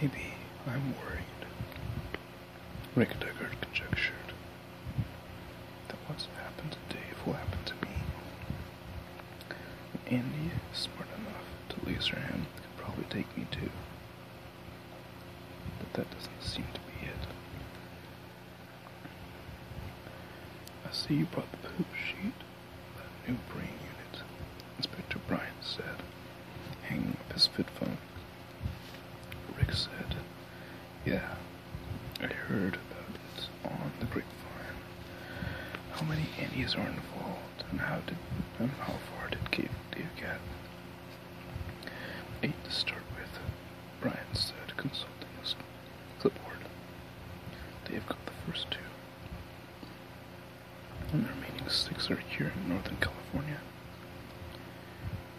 Maybe I'm worried. Rick Deckard conjectured that what's happened to Dave will happen to me. Andy is smart enough to lose her hand, could probably take me too. But that doesn't seem to be it. I see you brought the poop sheet a new brain unit, Inspector Bryant said, hanging up his fit phone. Rick said, Yeah, I heard about it on the grapevine. How many Indians are involved, and how did and how far did you get? Eight to start with, Bryant said, consulting his clipboard. They have got the first two. And the remaining six are here in Northern California.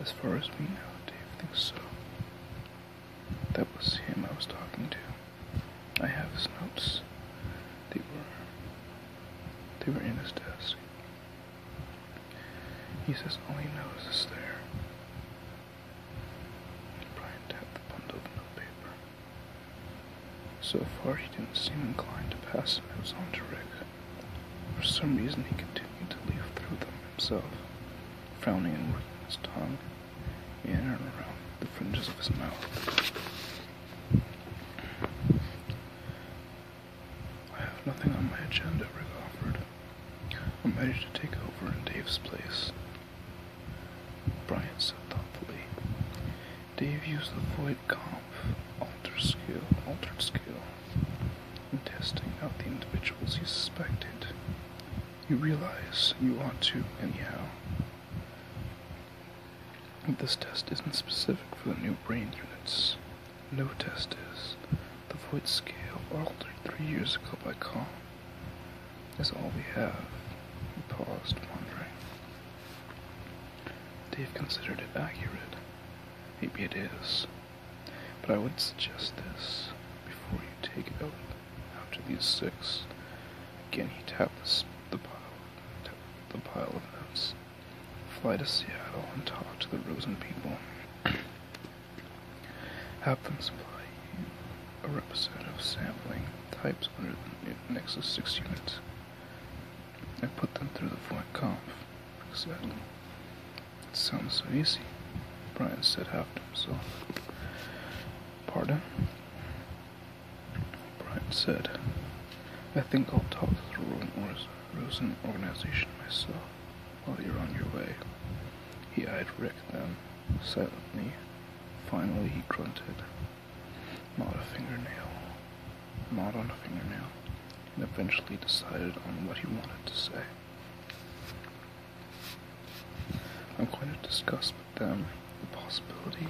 As far as we know, Dave thinks so. That was him I was talking to. I have his notes. They were they were in his desk. He says all he knows is there. Brian tapped the bundle of notepaper. So far, he didn't seem inclined to pass those on to Rick. For some reason, he continued to leaf through them himself, frowning and working his tongue in and around the fringes of his mouth. I have nothing on my agenda, Rick offered. I'm ready to take over in Dave's place. Brian said thoughtfully. Dave used the void comp, altered scale, altered scale, in testing out the individuals you suspected. You realize you ought to, anyhow. This test isn't specific for the new brain units. No test is. The void scale altered three years ago by Carl." That's all we have. He paused, wondering. Dave considered it accurate. Maybe it is. But I would suggest this before you take it out after these six. Again, he tapped the pile, tapped the pile of notes. Fly to Seattle and talk to the Rosen people. Have them supply you a representative of sampling types under the Nexus 6 units. I put them through the void conf. Exactly. It sounds so easy, Brian said "After so, Pardon? Brian said, I think I'll talk through the Rosen, organization myself while you're on your way. Yeah, I'd Rick them. Silently, finally he grunted. Not a fingernail. Not on a fingernail. And eventually decided on what he wanted to say. I'm going to discuss with them the possibility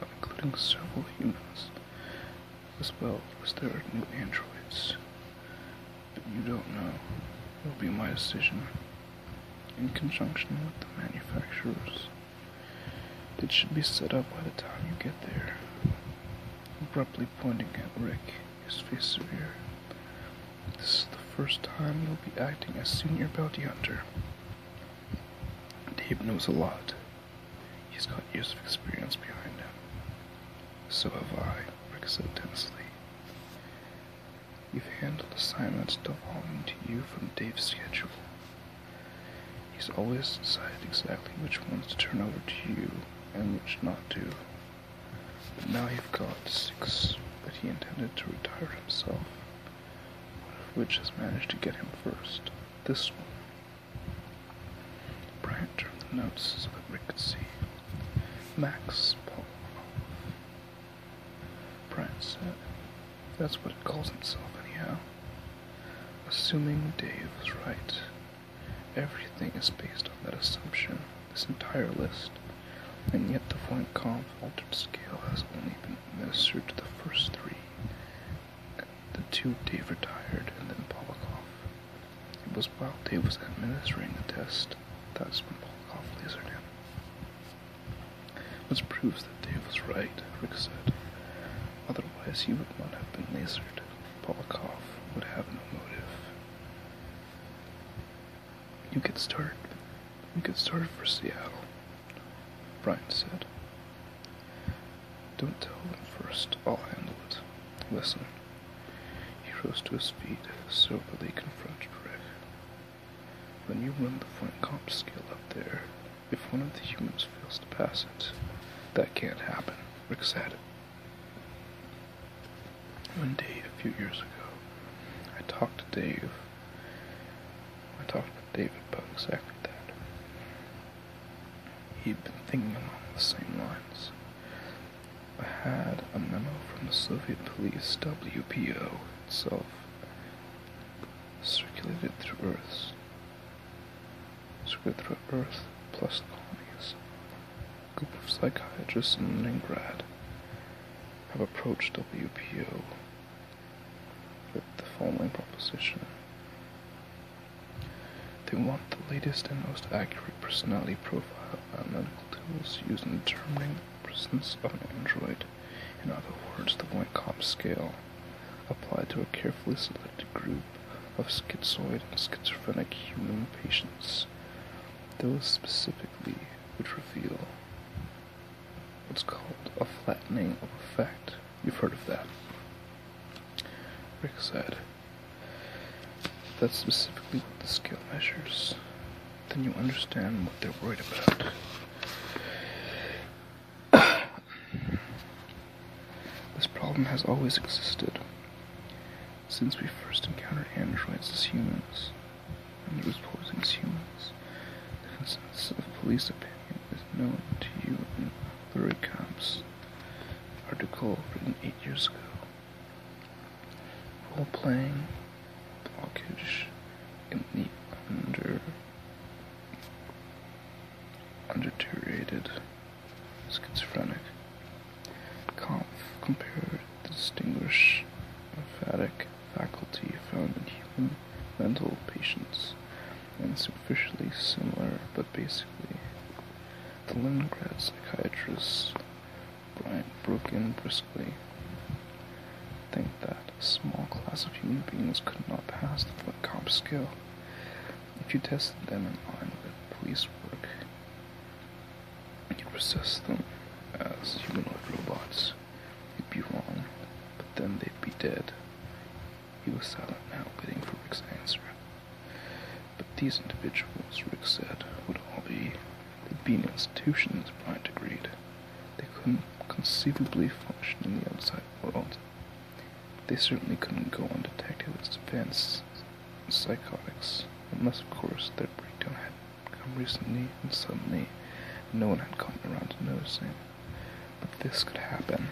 of including several humans, as well as their new androids. But you don't know. It'll be my decision in conjunction with the manufacturers it should be set up by the time you get there. Abruptly pointing at Rick, his face severe. This is the first time you'll be acting as senior bounty hunter. Dave knows a lot. He's got years of experience behind him. So have I, Rick said tensely. You've handled assignments devolving to you from Dave's schedule. He's always decided exactly which ones to turn over to you and which not to. But now you've got six that he intended to retire himself, of which has managed to get him first. This one. Brian turned the notes so that Rick could see. Max Paul, Prince. said. Uh, that's what it calls itself, anyhow. Assuming Dave was right. Everything is based on that assumption, this entire list. And yet the Voigt Kampf altered scale has only been administered to the first three. The two Dave retired, and then Polakov. It was while Dave was administering the test, that when Polakov lasered him. Which proves that Dave was right, Rick said. Otherwise, he would not have been lasered. Polakov would have no motive. You get started. You get started for Seattle, Brian said. Don't tell them first. I'll handle it. Listen. He rose to his feet, soberly confronted Rick. When you run the front comp scale up there, if one of the humans fails to pass it, that can't happen. Rick said it. One day, a few years ago, I talked to Dave. I talked to David about exactly that. He'd been thinking along the same lines. I had a memo from the Soviet police WPO itself circulated through Earth, circulated through Earth plus colonies. A group of psychiatrists in Leningrad have approached WPO with the following proposition. They want the latest and most accurate personality profile analytical tools used in determining the presence of an android. In other words, the Wyckoff scale, applied to a carefully selected group of schizoid and schizophrenic human patients, those specifically which reveal what's called a flattening of effect. You've heard of that. Rick said. That's specifically what the scale measures then you understand what they're worried about. this problem has always existed since we first encountered androids as humans, and it was posing as humans. The consensus of police opinion is known to you in the Comp's article written eight years ago. Role playing blockage in the under underdeteriorated schizophrenic. Conf compared the distinguished emphatic faculty found in human mental patients and superficially similar but basically. The Leningrad psychiatrist Bryant broke in briskly. Think that a small class of human beings could not pass the cop skill. If you tested them in line with police work, you'd assess them as humanoid robots. You'd be wrong, but then they'd be dead. He was silent now, waiting for Rick's answer. But these individuals, Rick said, would all be They'd been institutions, by agreed. They couldn't conceivably function in the outside world. They certainly couldn't go undetected as advanced psychotics, unless, of course, their breakdown had come recently and suddenly no one had gotten around to noticing. But this could happen.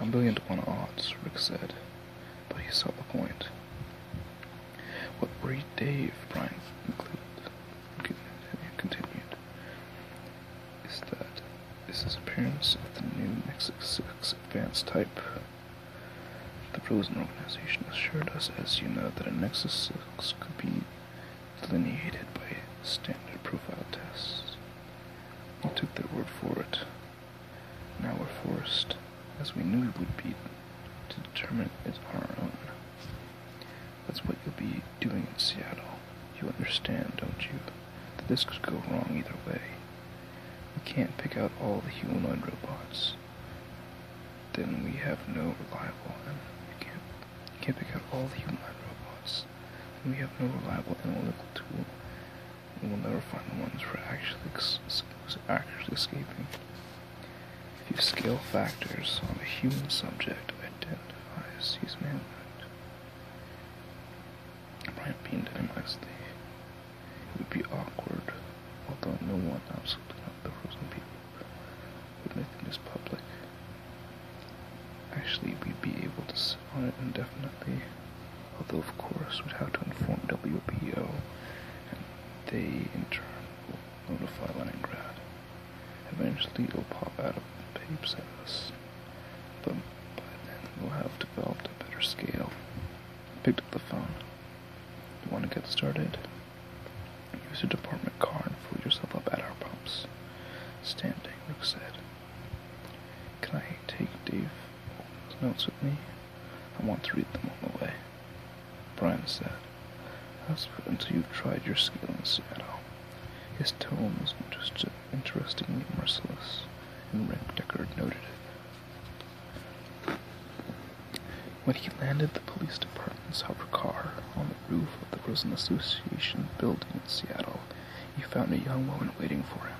A million to one odds, Rick said, but he saw the point. What worried Dave, Brian concluded, continued is that is this appearance of the new Nexus 6 advanced type. The Frozen Organization assured us, as you know, that a Nexus 6 could be delineated by standard profile tests. We took their word for it. Now we're forced, as we knew we would be, to determine it on our own. That's what you'll be doing in Seattle. You understand, don't you? That this could go wrong either way. We can't pick out all the humanoid robots. Then we have no reliable animal. We can't, we can't pick out all the humanoid robots. we have no reliable analytical tool. we'll never find the ones who are actually, actually escaping. If you scale factors on a human subject, identify as sees manhood. Brian Bean dynamized It would be awkward, although no one, absolutely not the frozen people, would make this public. Actually, we'd be able to sit on it indefinitely, although of course we'd have to inform WPO, and they in turn will notify Leningrad. Eventually it'll pop out of the paper's at us. But by then we'll have developed a better scale. picked up the phone. You want to get started? Use your department car and fill yourself up at our pumps. Standing, Rook said. Can I take Dave notes with me? I want to read them on the way. Brian said. I was until you have tried your skill in Seattle. His tone was interest interestingly merciless, and Rick Deckard noted it. When he landed the police department's hover car on the roof of the Prison Association building in Seattle, he found a young woman waiting for him,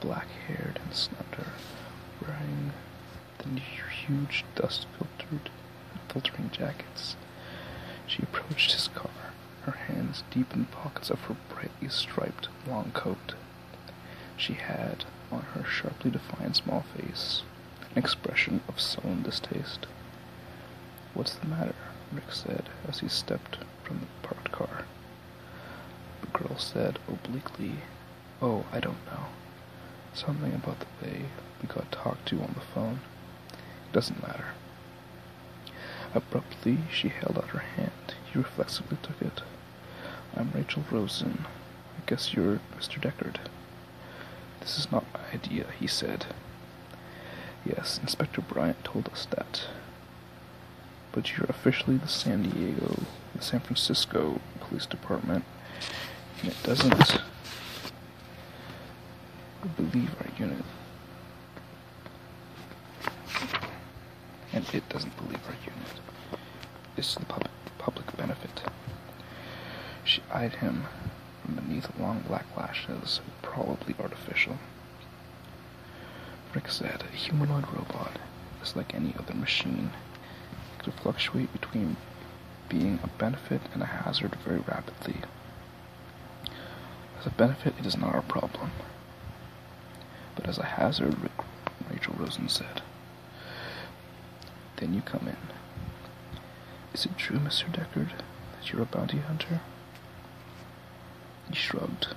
black-haired and slender, wearing the huge dust-filtered filtering jackets. She approached his car, her hands deep in the pockets of her brightly striped long coat. She had on her sharply defined small face an expression of sullen distaste. What's the matter? Rick said as he stepped from the parked car. The girl said obliquely, Oh, I don't know. Something about the way we got talked to on the phone. It doesn't matter. Abruptly, she held out her hand. He reflexively took it. I'm Rachel Rosen. I guess you're Mr. Deckard. This is not my idea, he said. Yes, Inspector Bryant told us that. But you're officially the San Diego, the San Francisco Police Department, and it doesn't. We believe our unit. And it doesn't believe our unit. Is the pub- public benefit. She eyed him from beneath long black lashes, probably artificial. Rick said, a humanoid robot is like any other machine. It could fluctuate between being a benefit and a hazard very rapidly. As a benefit, it is not our problem. But as a hazard, Rachel Rosen said. Then you come in. Is it true, Mr. Deckard, that you're a bounty hunter? He shrugged.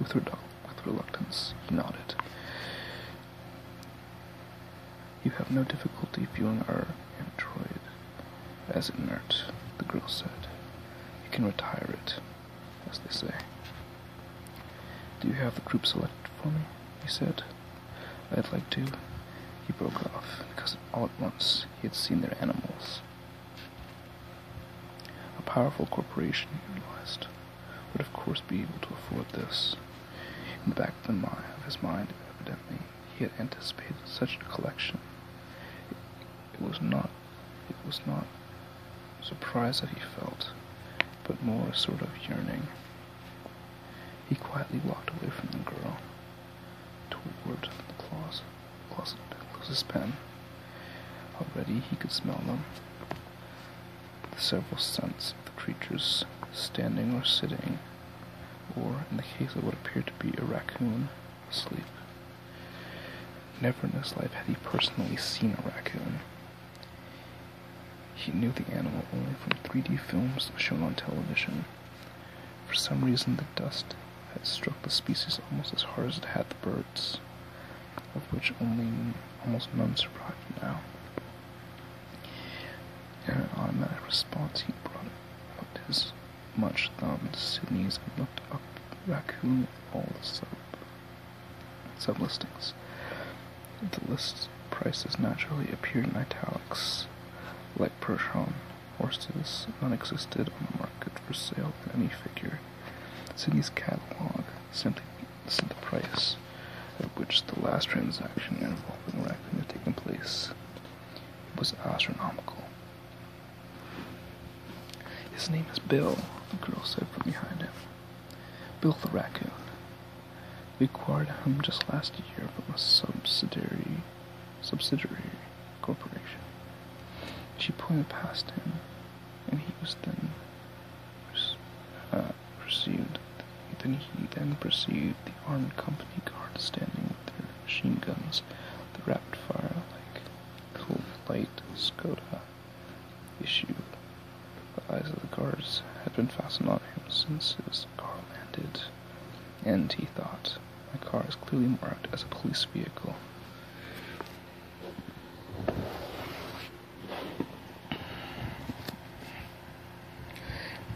With, redu- with reluctance, he nodded. You have no difficulty viewing our android as inert, the girl said. You can retire it, as they say. Do you have the group selected for me? He said. I'd like to. He broke off, because all at once he had seen their animals. A powerful corporation, he realized, would of course be able to afford this. In the back of, mind, his mind, evidently, he had anticipated such a collection. It, was not, it was not surprise that he felt, but more a sort of yearning. He quietly walked away from the girl, towards the closet, closet to pen. Already he could smell them, the several scents of the creatures standing or sitting or, in the case of what appeared to be a raccoon, asleep. Never in his life had he personally seen a raccoon. He knew the animal only from 3D films shown on television. For some reason, the dust had struck the species almost as hard as it had the birds, of which only almost none survived now. Their automatic response, he brought out his much thumbed Sudanese and looked up raccoon all the sub listings, The list prices naturally appeared in italics, like Percheron. Horses none existed on the market for sale in any figure. Sydney's catalog simply sent the price at which the last transaction involving the raccoon had taken place was astronomical. His name is Bill, the girl said from behind him. Bill the raccoon. We acquired him just last year from a subsidiary subsidiary corporation. She pointed past him, and he was then uh, pursued. Then he then perceived the armed company guard standing with their machine guns, the rapid-fire like cold light Skoda issued. The eyes of the guards had been fastened on him since his car landed, and he thought, my car is clearly marked as a police vehicle.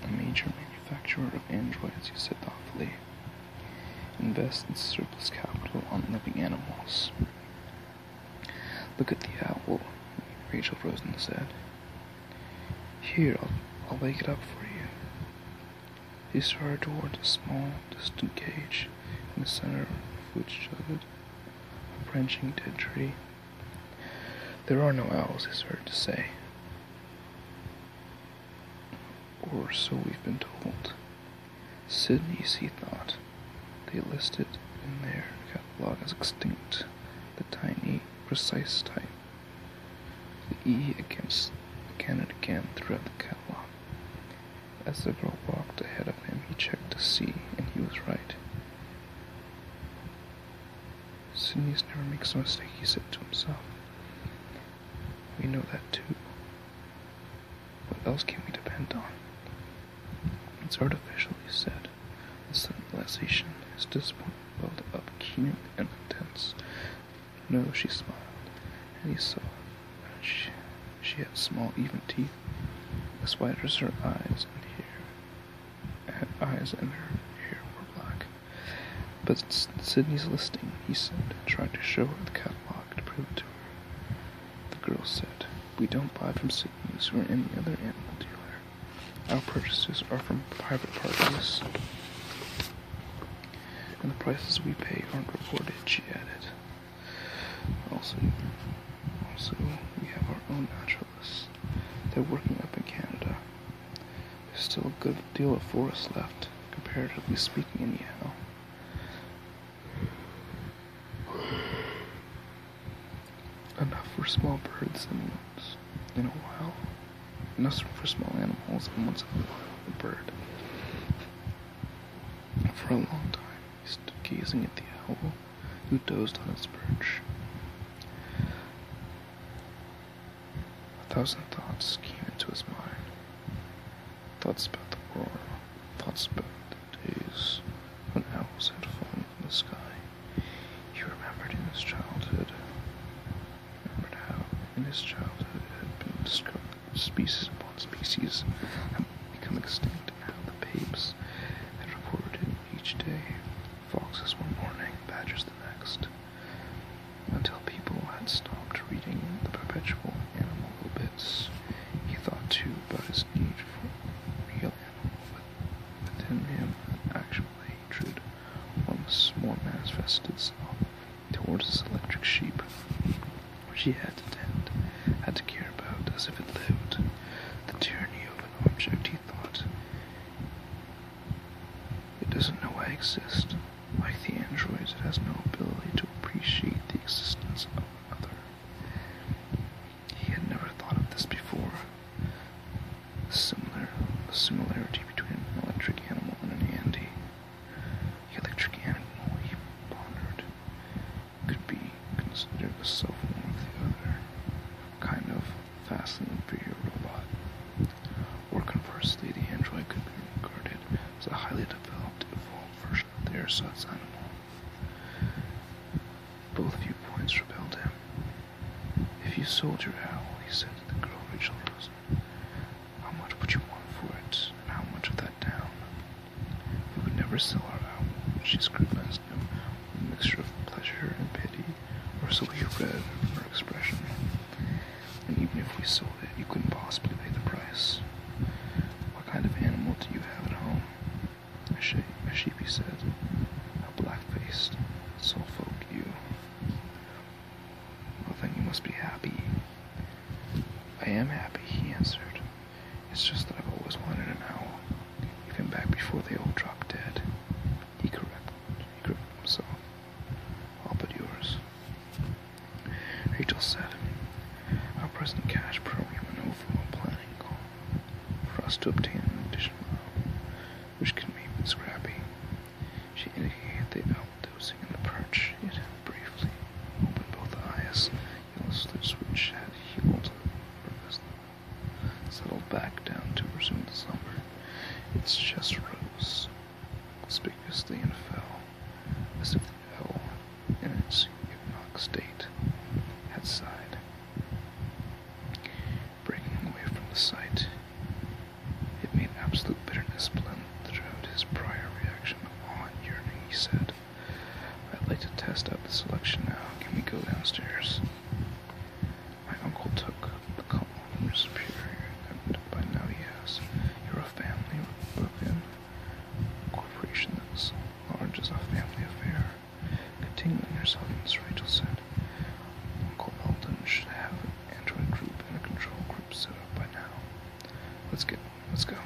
A major manufacturer of androids, you said thoughtfully. Invest its surplus capital on living animals. Look at the owl, Rachel Rosen said. Here, I'll, I'll wake it up for you. He started toward a small, distant cage, in the center of which stood a branching dead tree. There are no owls, it's hard to say. Or so we've been told. Sydney's, he thought. They listed in their catalog as extinct the tiny, precise type. The E against again and again throughout the catalog. As the girl walked ahead of him, he checked the see, and he was right. Sinius never makes a mistake, he said to himself. We know that too. What else can we depend on? It's artificial, he said. The civilization is disappointed, built up, keen and intense. No, she smiled, and he saw that she, she had small, even teeth, as wide as her eyes, and here her eyes and her hair were black. But Sydney's listing, he said, and tried to show her the catalog to prove it to her. The girl said, We don't buy from Sydney's or any other animal dealer. Our purchases are from private parties, and the prices we pay aren't reported, she added. Also, also we have our own natural they're working up in Canada. There's still a good deal of forest left, comparatively speaking, anyhow. Enough for small birds and once in a while. Enough for small animals and once in a while a bird. For a long time, he stood gazing at the owl who dozed on his perch. A thousand thoughts came into his mind. Thoughts about the war, thoughts about the days when owls had fallen from the sky. He remembered in his childhood, remembered how in his childhood had been discovered species upon species had become extinct and how the papes had recorded each day. Foxes one morning, badgers the next, until people had stopped reading the perpetual animal bits. He thought too about his need for real but within him, an actual hatred, once more manifested itself towards his electric sheep, which he had to tend, had to care about as if it lived. The tyranny of an object, he thought, it doesn't know I exist. Like the androids, it has no ability to appreciate the existence of another. He had never thought of this before. Similar, the similarity between an electric animal and an Andy. The electric animal, he pondered, could be considered a self one of the other kind of fast and inferior robot. Or conversely, the android could be regarded as a highly developed, evolved version of the ersatz animal. Both viewpoints repelled him. If you sold your owl, he said the girl Rachel Rosen, how much would you want for it, and how much of that down? We would never sell our owl, she scrutinized him a mixture of pleasure and pity, or so we read from her expression. And even if we sold it, you couldn't possibly pay the price. What kind of animal do you have at home? A sheep, a sheep he said. A black-faced, soulful folk you. Well, then you must be happy. I am happy, he answered. It's just that I've always wanted an owl, even back before they all dropped dead. He So I'll put yours. Rachel said, Our present cash program and overall planning call for us to obtain an additional loan, which can make me scrappy. She indicated the outdosing in the perch. It briefly opened both eyes. Yellow slits which had healed. Or settled back down to resume the slumber. Its chest rose conspicuously and fell, as if the in its hypnotic state, had sighed. Breaking away from the sight, it made absolute bitterness blend throughout his prior reaction of awe and yearning, he said. I'd like to test out the selection now. Can we go downstairs? My uncle took a couple from your superior, and by now he has. You're a family Republican corporation that's large as a family affair. Continuing your sentence, Rachel said, Uncle Eldon should have an android group and a control group set up by now. Let's get, let's go.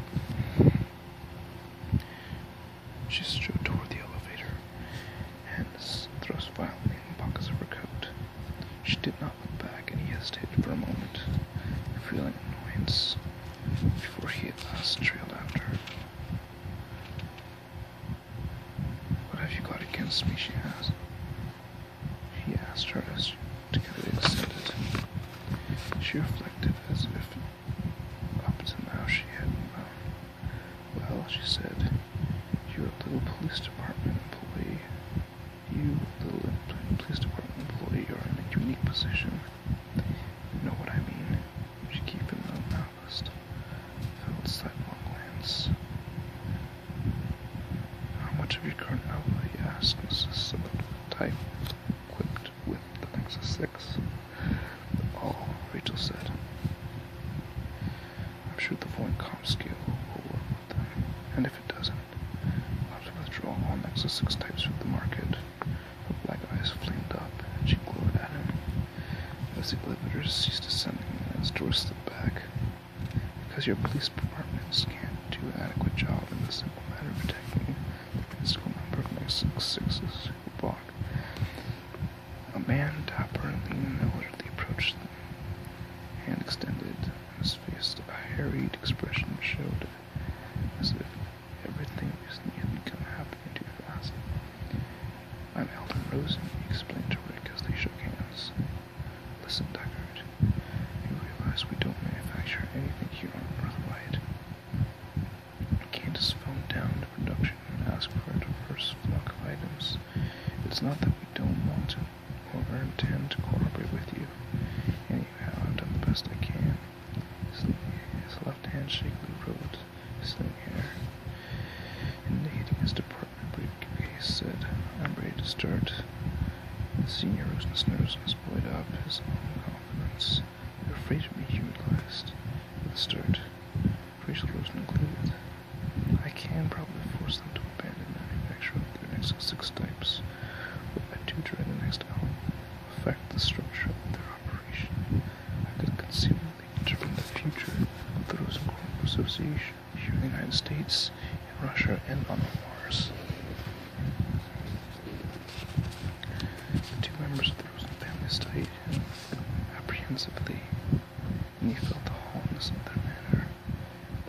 She strode toward the elevator hands thrust violently in the pockets of her coat. She did not look back, and he hesitated for a moment, feeling annoyance, before he at last trailed after her. What have you got against me? she asked. He asked her as together they descended. She reflected as if up to now she had known well, she said, you little police department employee. You little police department employee are in a unique position. You know what I mean? She keep him them honest. Filled sidelong glance. How much of your current outlay? asked Mrs. Sillett, type equipped with the Nexus 6. Oh, Rachel said. I'm sure the void comp skill will work with them, and if it doesn't, I'll have to withdraw all Nexus 6 types from the market. Her black eyes flamed up, and she glowered at him. As the elevator ceased descending and its door slipped back, because your police departments can't do an adequate job in the simple matter of protecting the physical number of 6s who bought a man topper leaned out as they approached them, hand extended, his face a harried expression showed as if everything was recently had become happening too fast. I'm Alden Rosen, he explained to Rick as they shook hands. Listen, Duckard, you realize we don't manufacture anything here on We can't just phoned down to production and ask for a diverse block of items. It's not that we don't want to or intend to cooperate with you. Anyway, I've done the best I can. His, left hand shakily rubbed his thin hair. Indicating his department, he said, I'm ready to start. The senior rose in his nose and buoyed up his own confidence. You're afraid of me, he realized, with a start. Free solution included. I can probably force them to abandon manufacture of their next six types, but I do dread the next album affect the structure of their operation. I could conceivably determine the future of the Rosenkorn Association here in the United States, in Russia, and on Mars. The two members of the Rosen family studied apprehensively he felt the holiness of their manner.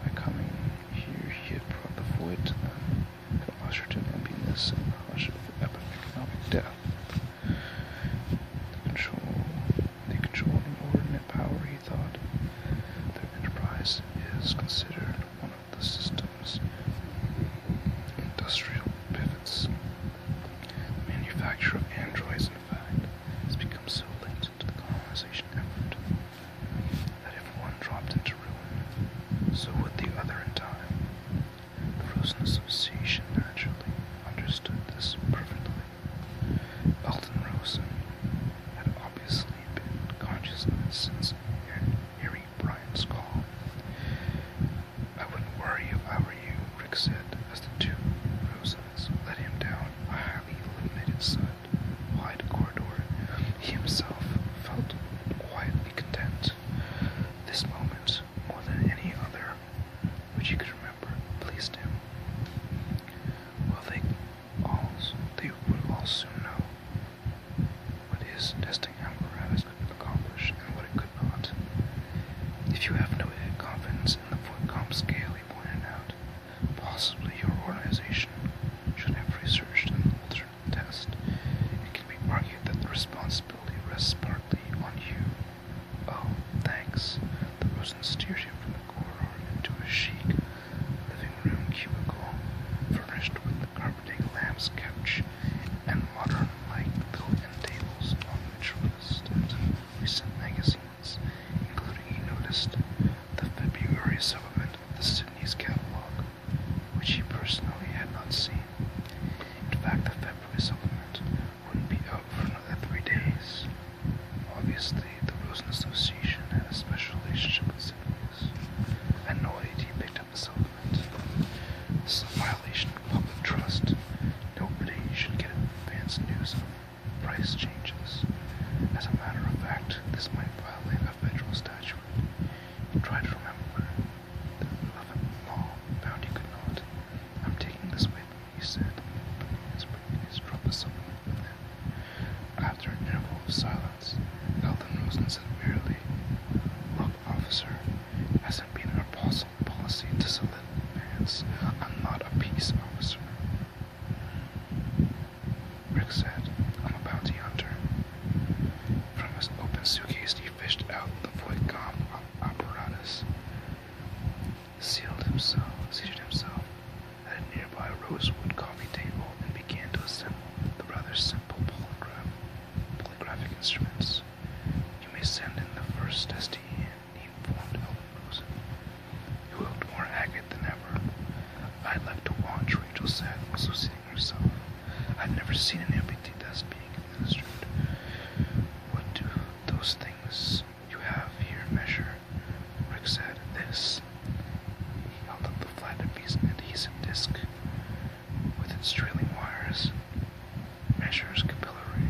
By coming here, he had brought the void to them, the usher to emptiness and the hush of economic death. The control, they controlled an ordinate power, he thought. Their enterprise is considered one of the system's industrial pivots. The manufacture of androids in has become so linked to the colonization effort that if one dropped into ruin, so would the other in time. The Rosen Association naturally understood this perfectly. Elton Rosen had obviously been conscious of it since Erie Bryant's call. I wouldn't worry if I were you, Rick said, as the two Rosen heavens let him down a highly illuminated sun wide corridor. He himself felt quietly content. This moment, more than any other which he could remember, pleased him. Well, they all they would all soon know what his testing apparatus could accomplish and what it could not. If you have no confidence in the Voigtcom scale rightly pointed out, possibly your organization should have researched an alternate test. It can be argued that the responsibility rests partly on you. Oh, thanks. The Rosen steered him from the corridor into a chic living room cubicle, furnished with the carpeting lamb's couch and modern light built-in tables on which were listed recent magazines including he noticed the February supplement of the Sydney's catalog, which he personally had not seen. In fact, the February supplement wouldn't be out for another three days. Obviously, the Rosen Association had a special relationship with Sydney's. Annoyed, he picked up the supplement. This is a violation of public trust. Nobody should get advance news of price changes. As a matter of fact, this might violate a federal statute. Try to remember the law found he could I'm taking this with me, he said, his previous troublesome After an interval of silence, Elton and said merely, Look, officer, has it been our policy to solicit. Vance, I'm not a peace officer. Rick said, I'm a bounty hunter. From his open suitcase, he fished out the void apparatus, sealed himself, seated himself at a nearby rosewood coffee table, and began to assemble the rather simple polygraphic instruments. You may send in the first test he informed Ellenrosen, who looked more haggard than ever. I left to watch, Rachel said, also seating herself. I've never seen an amputee that's being administered. What do those things you have here measure? Rick said, This. He held up the flat piece of adhesive disc with its trailing wires. Measures capillary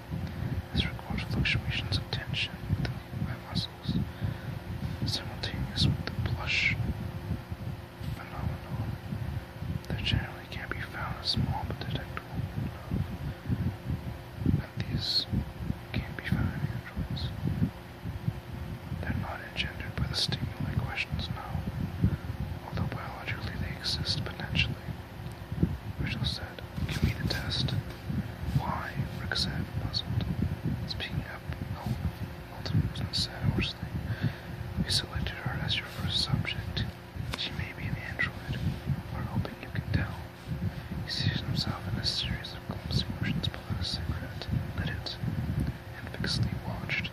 This records fluctuations of tension within my muscles, simultaneous with the blush phenomenon that generally can be found as small but detectable And these can be found in androids. They're not engendered by the stimuli questions now, although biologically they exist potentially. Rachel Give me the test. Why? Rick puzzled. Speaking up, oh, Elton said hoarsely, You selected her as your first subject. She may be an android. We're hoping you can tell. He sees himself in a series of clumsy motions behind a cigarette, lit and fixedly watched.